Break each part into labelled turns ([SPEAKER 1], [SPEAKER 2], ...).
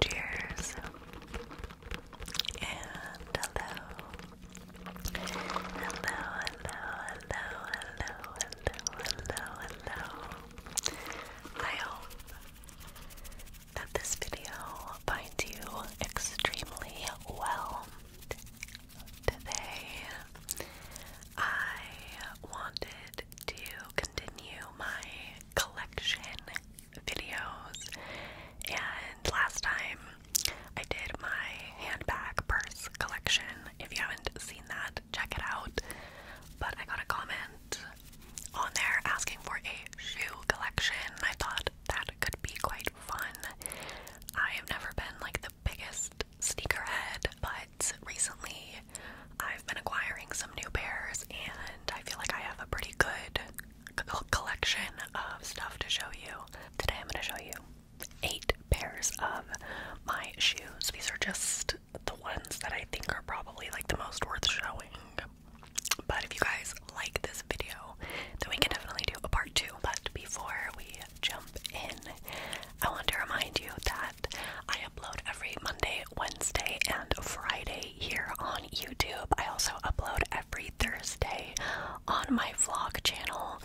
[SPEAKER 1] Cheers and hello. Hello, hello, hello, hello, hello, hello, hello. I hope that this video finds you extremely well today. I wanted to continue my collection videos, and last time I did my handbag purse collection. If you haven't seen that, check it out. But I got a comment on there asking for a shoe collection, I thought that could be quite fun. I have never been like the biggest sneaker head, but recently I've been acquiring some new pairs and I feel like I have a pretty good collection of stuff to show you. Today I'm going to show you eight pairs of my shoes. These are just the ones that I think are probably like the most worth showing but if you guys like this video, then we can definitely do a part two. But before we jump in, I want to remind you that I upload every Monday, Wednesday, and Friday here on YouTube. I also upload every Thursday on my vlog channel,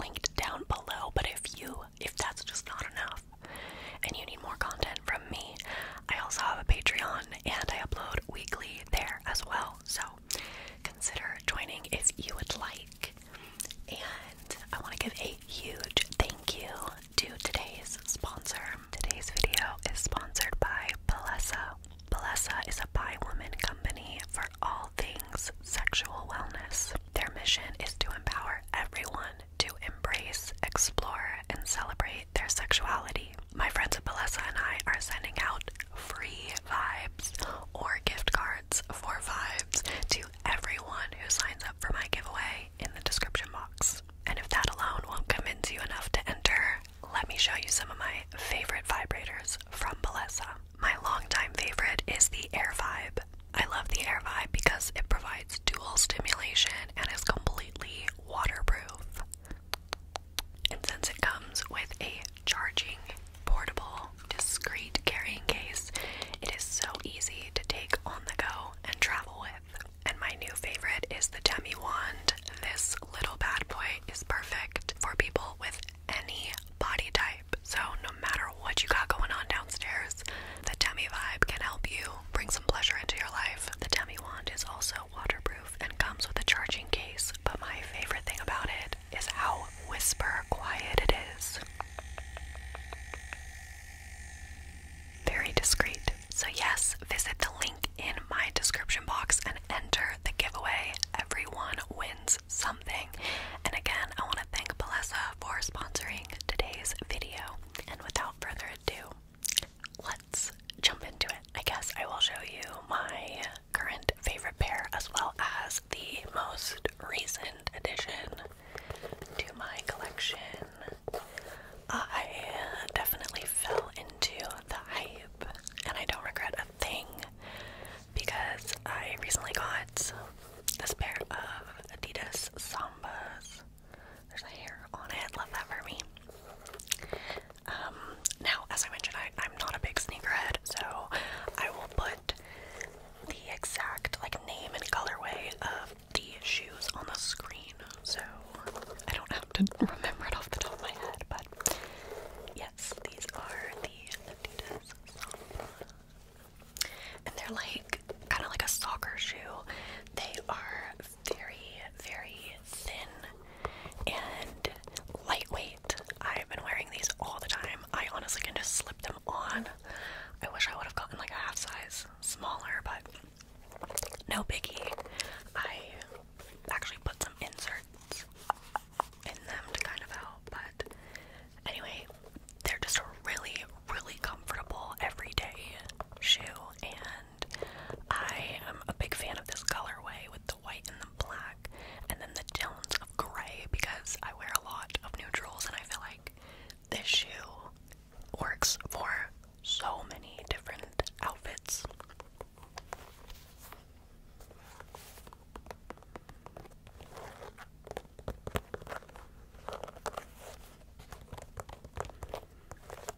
[SPEAKER 1] linked down below. But if you, if that's just not enough, and you need more content from me, I also have a Patreon and I upload weekly there as well. So consider joining if you would like. And I want to give a huge thank you to today's sponsor. Today's video is sponsored by Palessa. Palessa is a bi woman company for all things sexual wellness. Their mission is to empower everyone to embrace, explore, and celebrate their sexuality my friends at Belissa and I are sending out free vibes or gift cards for vibes to everyone who signs up for my giveaway in the description box. And if that alone won't convince you enough to enter, let me show you some of my favorite vibrators from Belissa. My longtime favorite is the Air Vibe. I love the Air Vibe because it provides dual stimulation and is completely waterproof. And since it comes with a charging, portable, discreet carrying case, it is so easy to take on the go and travel with. And my new favorite is the Demi Wand. This little bad boy is perfect for people with any body type. So, no matter what you got going on downstairs, the Demi vibe can help you bring some pleasure into your life. The Demi Wand is also waterproof and comes with a charging case, but my favorite thing about it is how whisper quiet it is. Very discreet. So, yes, visit the link in my description box and enter the giveaway. Everyone wins something. And again, I want to thank Balesa for sponsoring today's video. And without further ado, let let's jump into it. I guess I will show you my current favorite pair as well as the most recent addition to my collection. I definitely fell into the hype and I don't regret a thing because I recently got this pair of Adidas Sambas. There's a hair on it, love that for me. Um, now, as I mentioned, I, am not a big sneakerhead, so I will put the exact like name and colorway of the shoes on the screen, so I don't have to remember it off the top of my head. But yes, these are the Adidas Samba, and they're like kind of like a soccer shoe. They are very, very thin and lightweight. I've been wearing these all the time. I honestly can just slip them on. I wish I would have gotten like a half size smaller, but no biggie. I actually put some inserts in them to kind of help, but anyway, they're just a really, really comfortable everyday shoe, and I am a big fan of this colorway with white and the black, and then the tones of gray because I wear a lot of neutrals, and I feel like this shoe works for so many different outfits.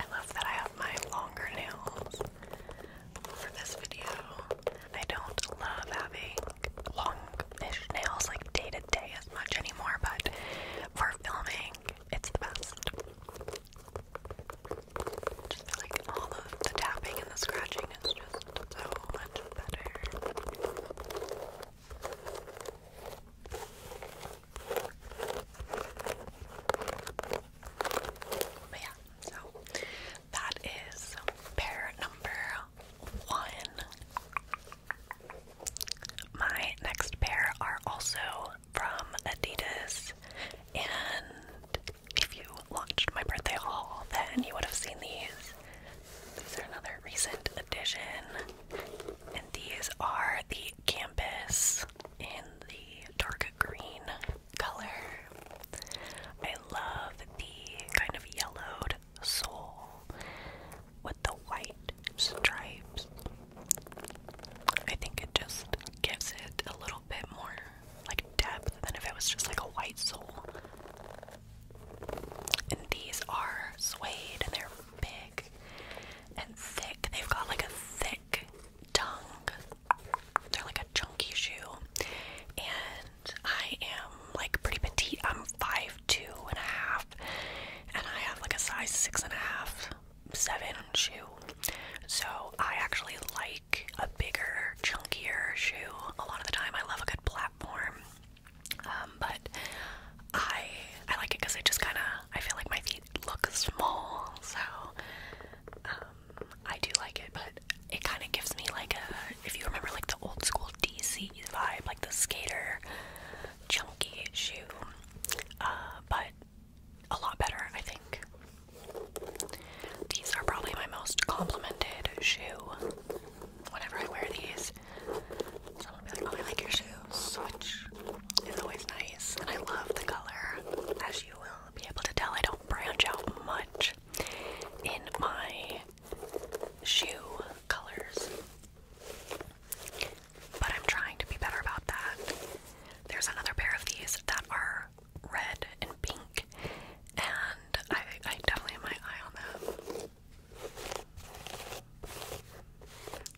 [SPEAKER 1] I love that I have my longer nails for this video. I don't love having longish nails like day to day as much anymore, but for filming, it's the best. Just like all the tapping and the scratching is just so much better. But yeah, so that is pair number one. My next pair are also from Adidas, and if you watched my birthday haul, then you would have seen these. These are another recent addition, and these are the canvas in the dark green color. I love the kind of yellowed sole with the white stripes. I think it just gives it a little bit more like depth than if it was just like a white sole. And these are suede and they're big and thick. They've got like a thick tongue. They're like a chunky shoe. And I am like pretty petite. I'm five two and a half and I have like a size six and a half, seven shoe. So I actually like a bigger, chunkier shoe. A lot of the time I love a good platform. Um, but I I like it because I just kind of I feel like my feet might look small, so um, I do like it, but it kind of gives me like a, if you remember like the old school DC vibe, like the skater chunky shoe, uh, but a lot better, I think. These are probably my most complimented shoe whenever I wear these. Someone will be like, oh, I like your shoe switch is always nice. And I love the color. As you will be able to tell, I don't branch out much in my shoe colors. But I'm trying to be better about that. There's another pair of these that are red and pink, and I, I definitely have my eye on them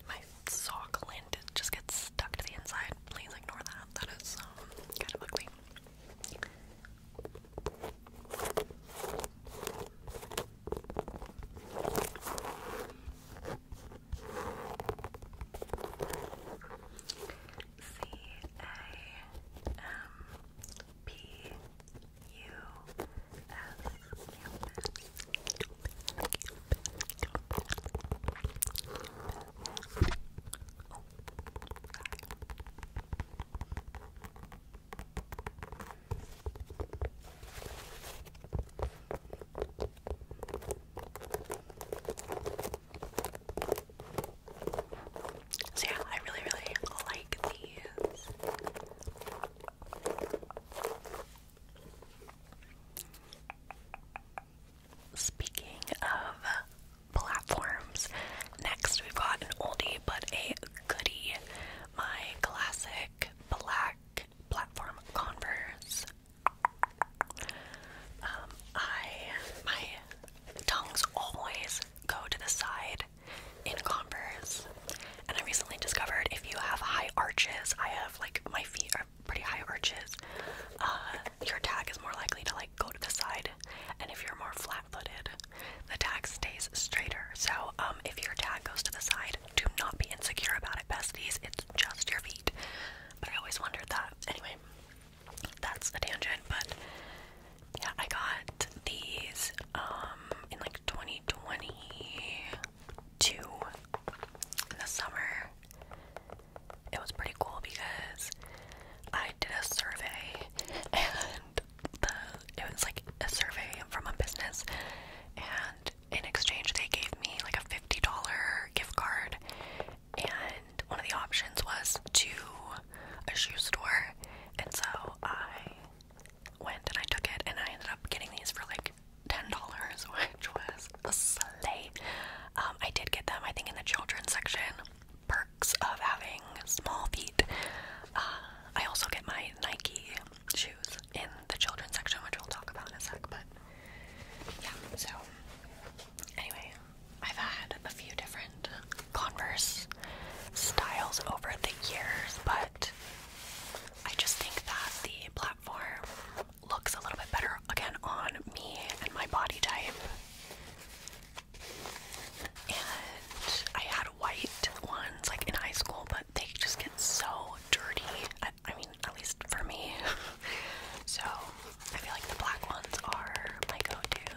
[SPEAKER 1] my sock lint just gets stuck to the inside. Please ignore that. That is um, kind of ugly. C A M P U S so yeah, I really, really like these. Speaking of platforms, next we've got an oldie but a goodie. My classic black platform Converse. Um, I my tongues always go to the side in Converse, and I recently discovered if you have high arches, I have like my feet are pretty high arches, uh, your tag is more likely to like go to the side. And if you're more flat-footed, the tag stays straighter. So um, if your tag goes to the side, do not be insecure about it, besties. It's just your feet. But I always wondered that. Anyway, that's a tangent. But yeah, I got these um, in like 2020 to the summer. It was pretty cool because I did a survey and the it was like a survey from a business and in exchange they gave me like a $50 gift card and one of the options was to a shoe store and so I went and I took it and I ended up getting these for like $10, which was a slay. Um, I did get them, I think, in the children's section. Perks of having small feet. Uh, I also get my Nike shoes in the children's section, which we'll talk about in a sec, but yeah, so anyway, I've had a few different Converse styles over the years, but I just think that the platform looks a little bit better again on me and my body type. And I had white ones like in high school, but they just get so dirty. I, mean, at least for me. so I feel like the black ones are my go to.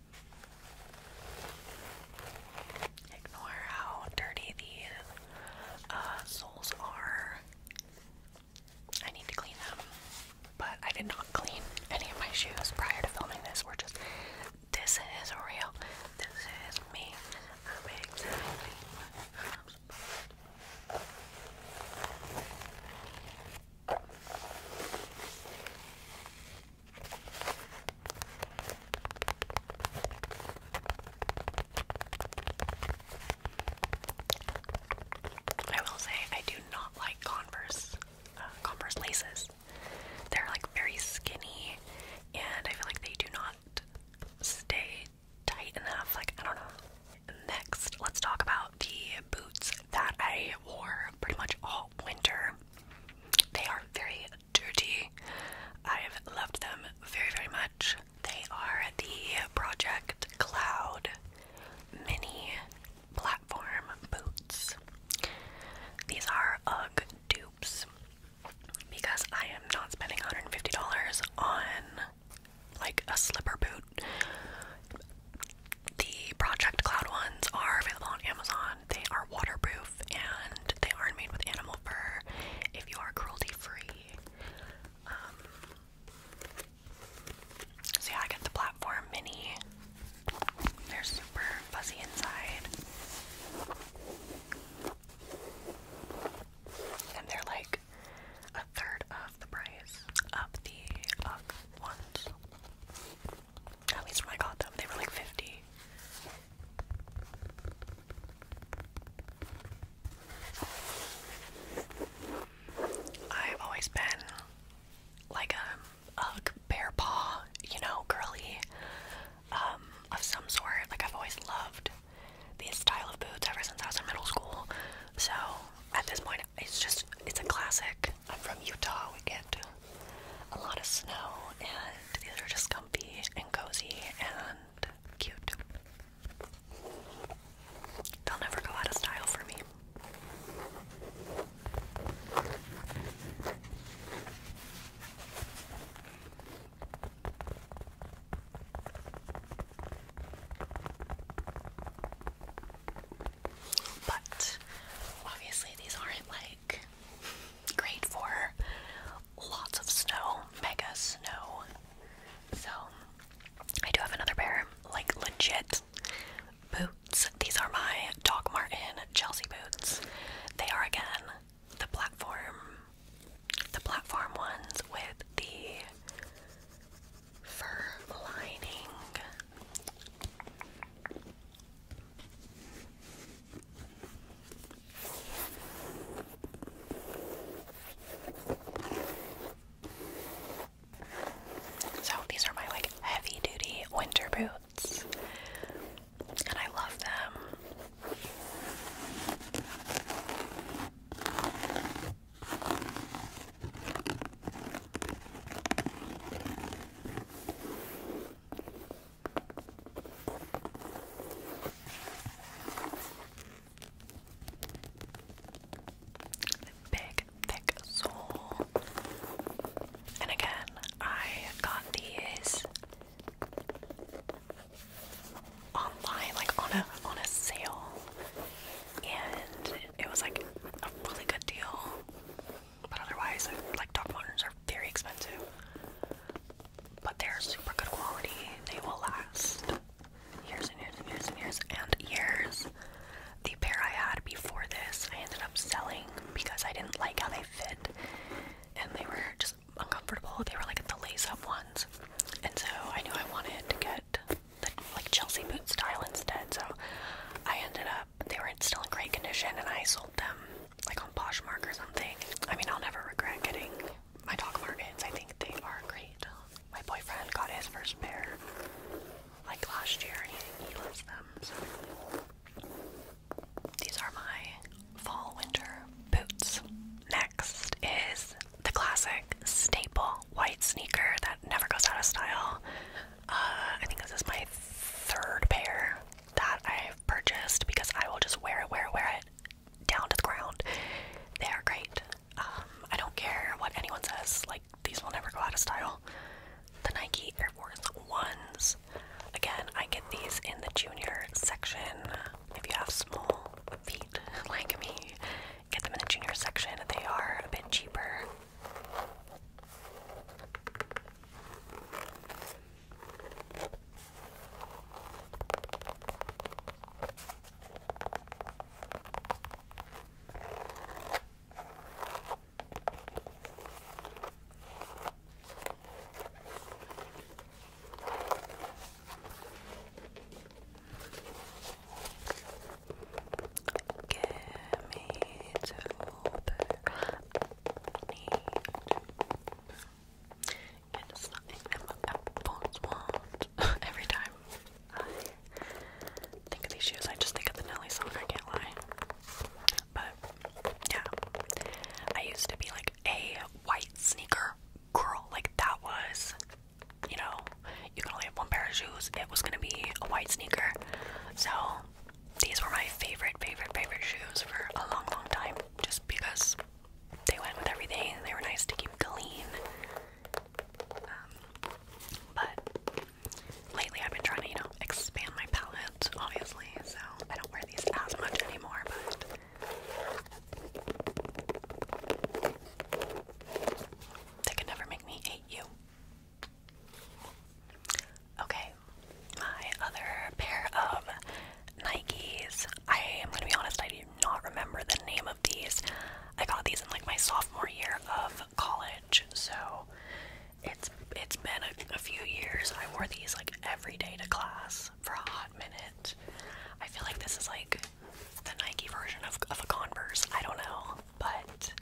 [SPEAKER 1] Ignore how dirty the uh, soles are. I need to clean them, but I did not clean any of my shoes prior to filming this. We're just, this is real. This is me. I will say I do not like Converse uh, Converse laces. They're like very skinny and I feel like they do not stay tight enough. Like I don't know. Next, let's talk about the boots that I wore pretty much all winter. They are very dirty. I've loved them very, very much. They are the Project Cloud Mini Platform Boots. These are UGG dupes because I am not spending $150 on like a slipper boot. The Project Cloud ones are available on Amazon. They are waterproof and they are made with animal fur if you are cruelty free. Um, I get the platform mini. They're super fuzzy inside. And they're like a third of the price of the UGG ones. At least when I got them, they were like 50. I've always been like a, a bear paw, you know, girly um, of some sort. Like, I've always loved these style of boots ever since I was in middle school. So, at this point, it's just, it's a classic. I'm from Utah, we get a lot of snow, and these are just comfy and cozy and cute. They'll never go out of style for me. But obviously, these aren't like great for lots of snow, mega snow. So I do have another pair, like legit boots. These are my Doc Martin Chelsea boots. They are again the platform the platform ones with the fur lining so these are my like heavy duty winter boots, and I love them big, thick sole. And again, I got these online, like on a on a sale, and it was like a really good deal. But otherwise, like dog moderns are very expensive, but they're super good quality. They will last years and years and years and years and years. The pair I had before this, I ended up selling because I didn't like how they fit, and they were just uncomfortable. They were like the lace-up ones, and so I knew I wanted to get the like Chelsea boot style instead. So I ended up but they were still in great condition, and I sold them like on Poshmark or something. I mean, I'll never regret getting my dog markets. I think they are great. My boyfriend got his first pair like last year, and he loves them. So. These are my fall winter boots. Next is the classic staple white sneaker that never goes out of style. Uh, I think this is my third pair that I've purchased because I will just wear it, wear it, wear it down to the ground. They are great. Um, I don't care what anyone says, like, these will never go out of style. The Nike Air Force Ones. Again, I get these in the junior section. If you have small feet like me, get them in the junior section. They are a bit cheaper Give me two it's not even what apples every time. I think of these shoes, I just think of the Nelly song, I can't lie. But yeah. I used to be like a white sneaker girl. Like that was you know, you can only have one pair of shoes, it was gonna be a white sneaker. So these were my favorite, favorite, favorite shoes for a long, long time. Just because they went with everything. They were nice to keep clean. Um, but lately I've been trying to, you know, expand my palette, obviously. So I don't wear these as much anymore, but... They could never make me hate you. Okay, my other pair of Nikes. I am gonna be honest, I do not remember the name of these. I got these in like my sophomore year of college, so it's it's been a, few years. I wore these like every day to class for a hot minute. I feel like this is like the Nike version of, of a Converse. I don't know, but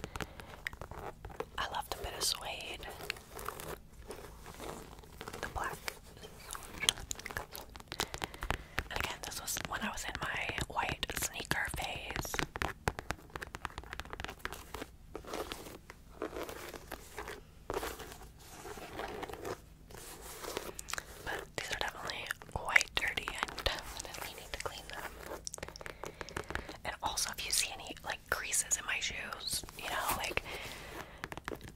[SPEAKER 1] I love left a bit of suede. The black. again, this was when I was in my white sneaker phase. But these are definitely quite dirty. I definitely need to clean them. And also, if you see any like creases in my shoes, you know, like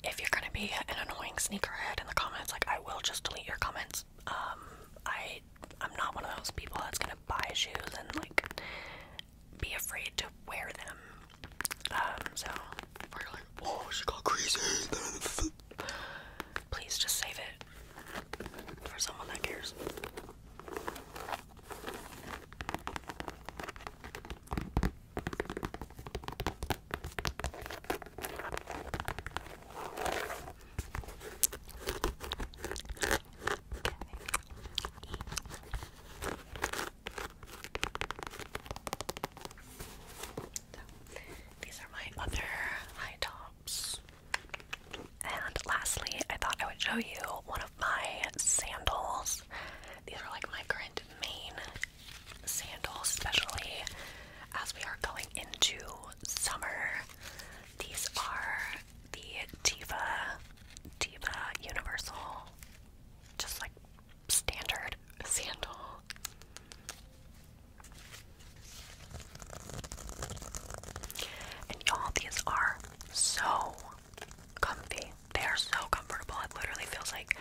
[SPEAKER 1] if you're gonna be an annoying sneakerhead in the comments, like I will just delete your comments. Um, I I'm not one of those people that's gonna buy shoes and like be afraid to wear them. Um, so we're like, oh, she got creases. Please just save it for someone that cares these are my other high tops. And lastly, I thought I would show you one of my sandals. These are like my current main sandals, especially as we are going into summer. These are the Diva, Diva Universal, just like standard sandal. And y'all, these are so comfy. They are so comfortable. It literally feels like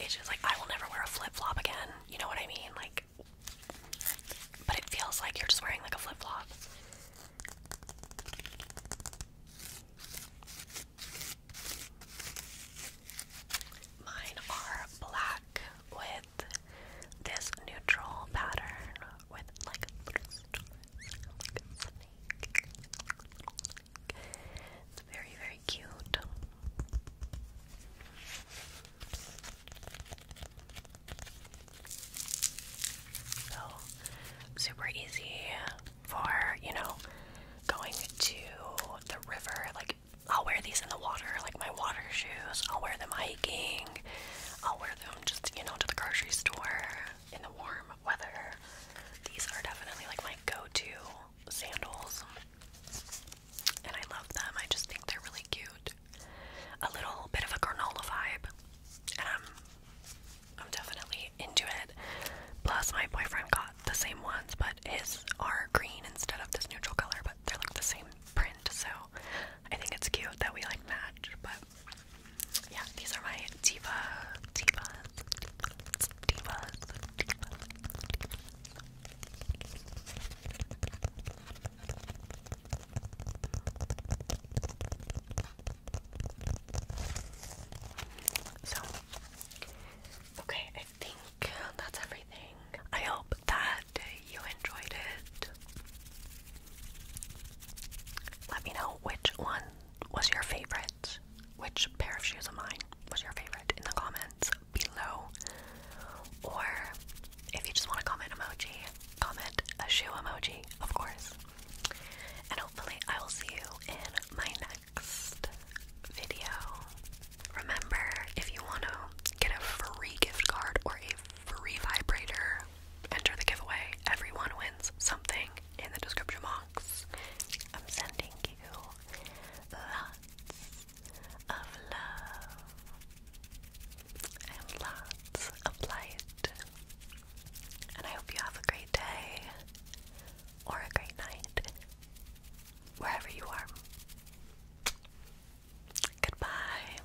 [SPEAKER 1] it's just like I will never wear a flip flop again. You know what I mean? Like, but it feels like you're just wearing like a flip flop. Mine are black with this neutral pattern with like little it's very, very cute. So, super easy for, you know, going to the river. Like, I'll wear these in the water, like my water shoes. I'll wear them hiking. I'll oh, wear them just, you know, to the grocery store in the warm weather. These are definitely like my go-to sandals. And I love them. I just think they're really cute. A little bit of a granola vibe. I'm um, I'm definitely into it. Plus my boyfriend got the same ones, but his are green instead of this neutral color, but they're like the same print, so I think it's cute that we like match, but yeah, these are my diva, diva, diva, diva. So, okay, I think that's everything. I hope that you enjoyed it. Let me know which one was your favorite. Which pair of shoes of mine was your favorite in the comments below. Or if you just want to comment emoji, comment a shoe emoji, of course. And hopefully, I will see you in my next video. Remember, if you want to get a free gift card or a free vibrator enter the giveaway. Everyone wins something in the description box. I'm sending you lots of love and lots of light. And I hope you have a great day or a great night wherever you are. Goodbye.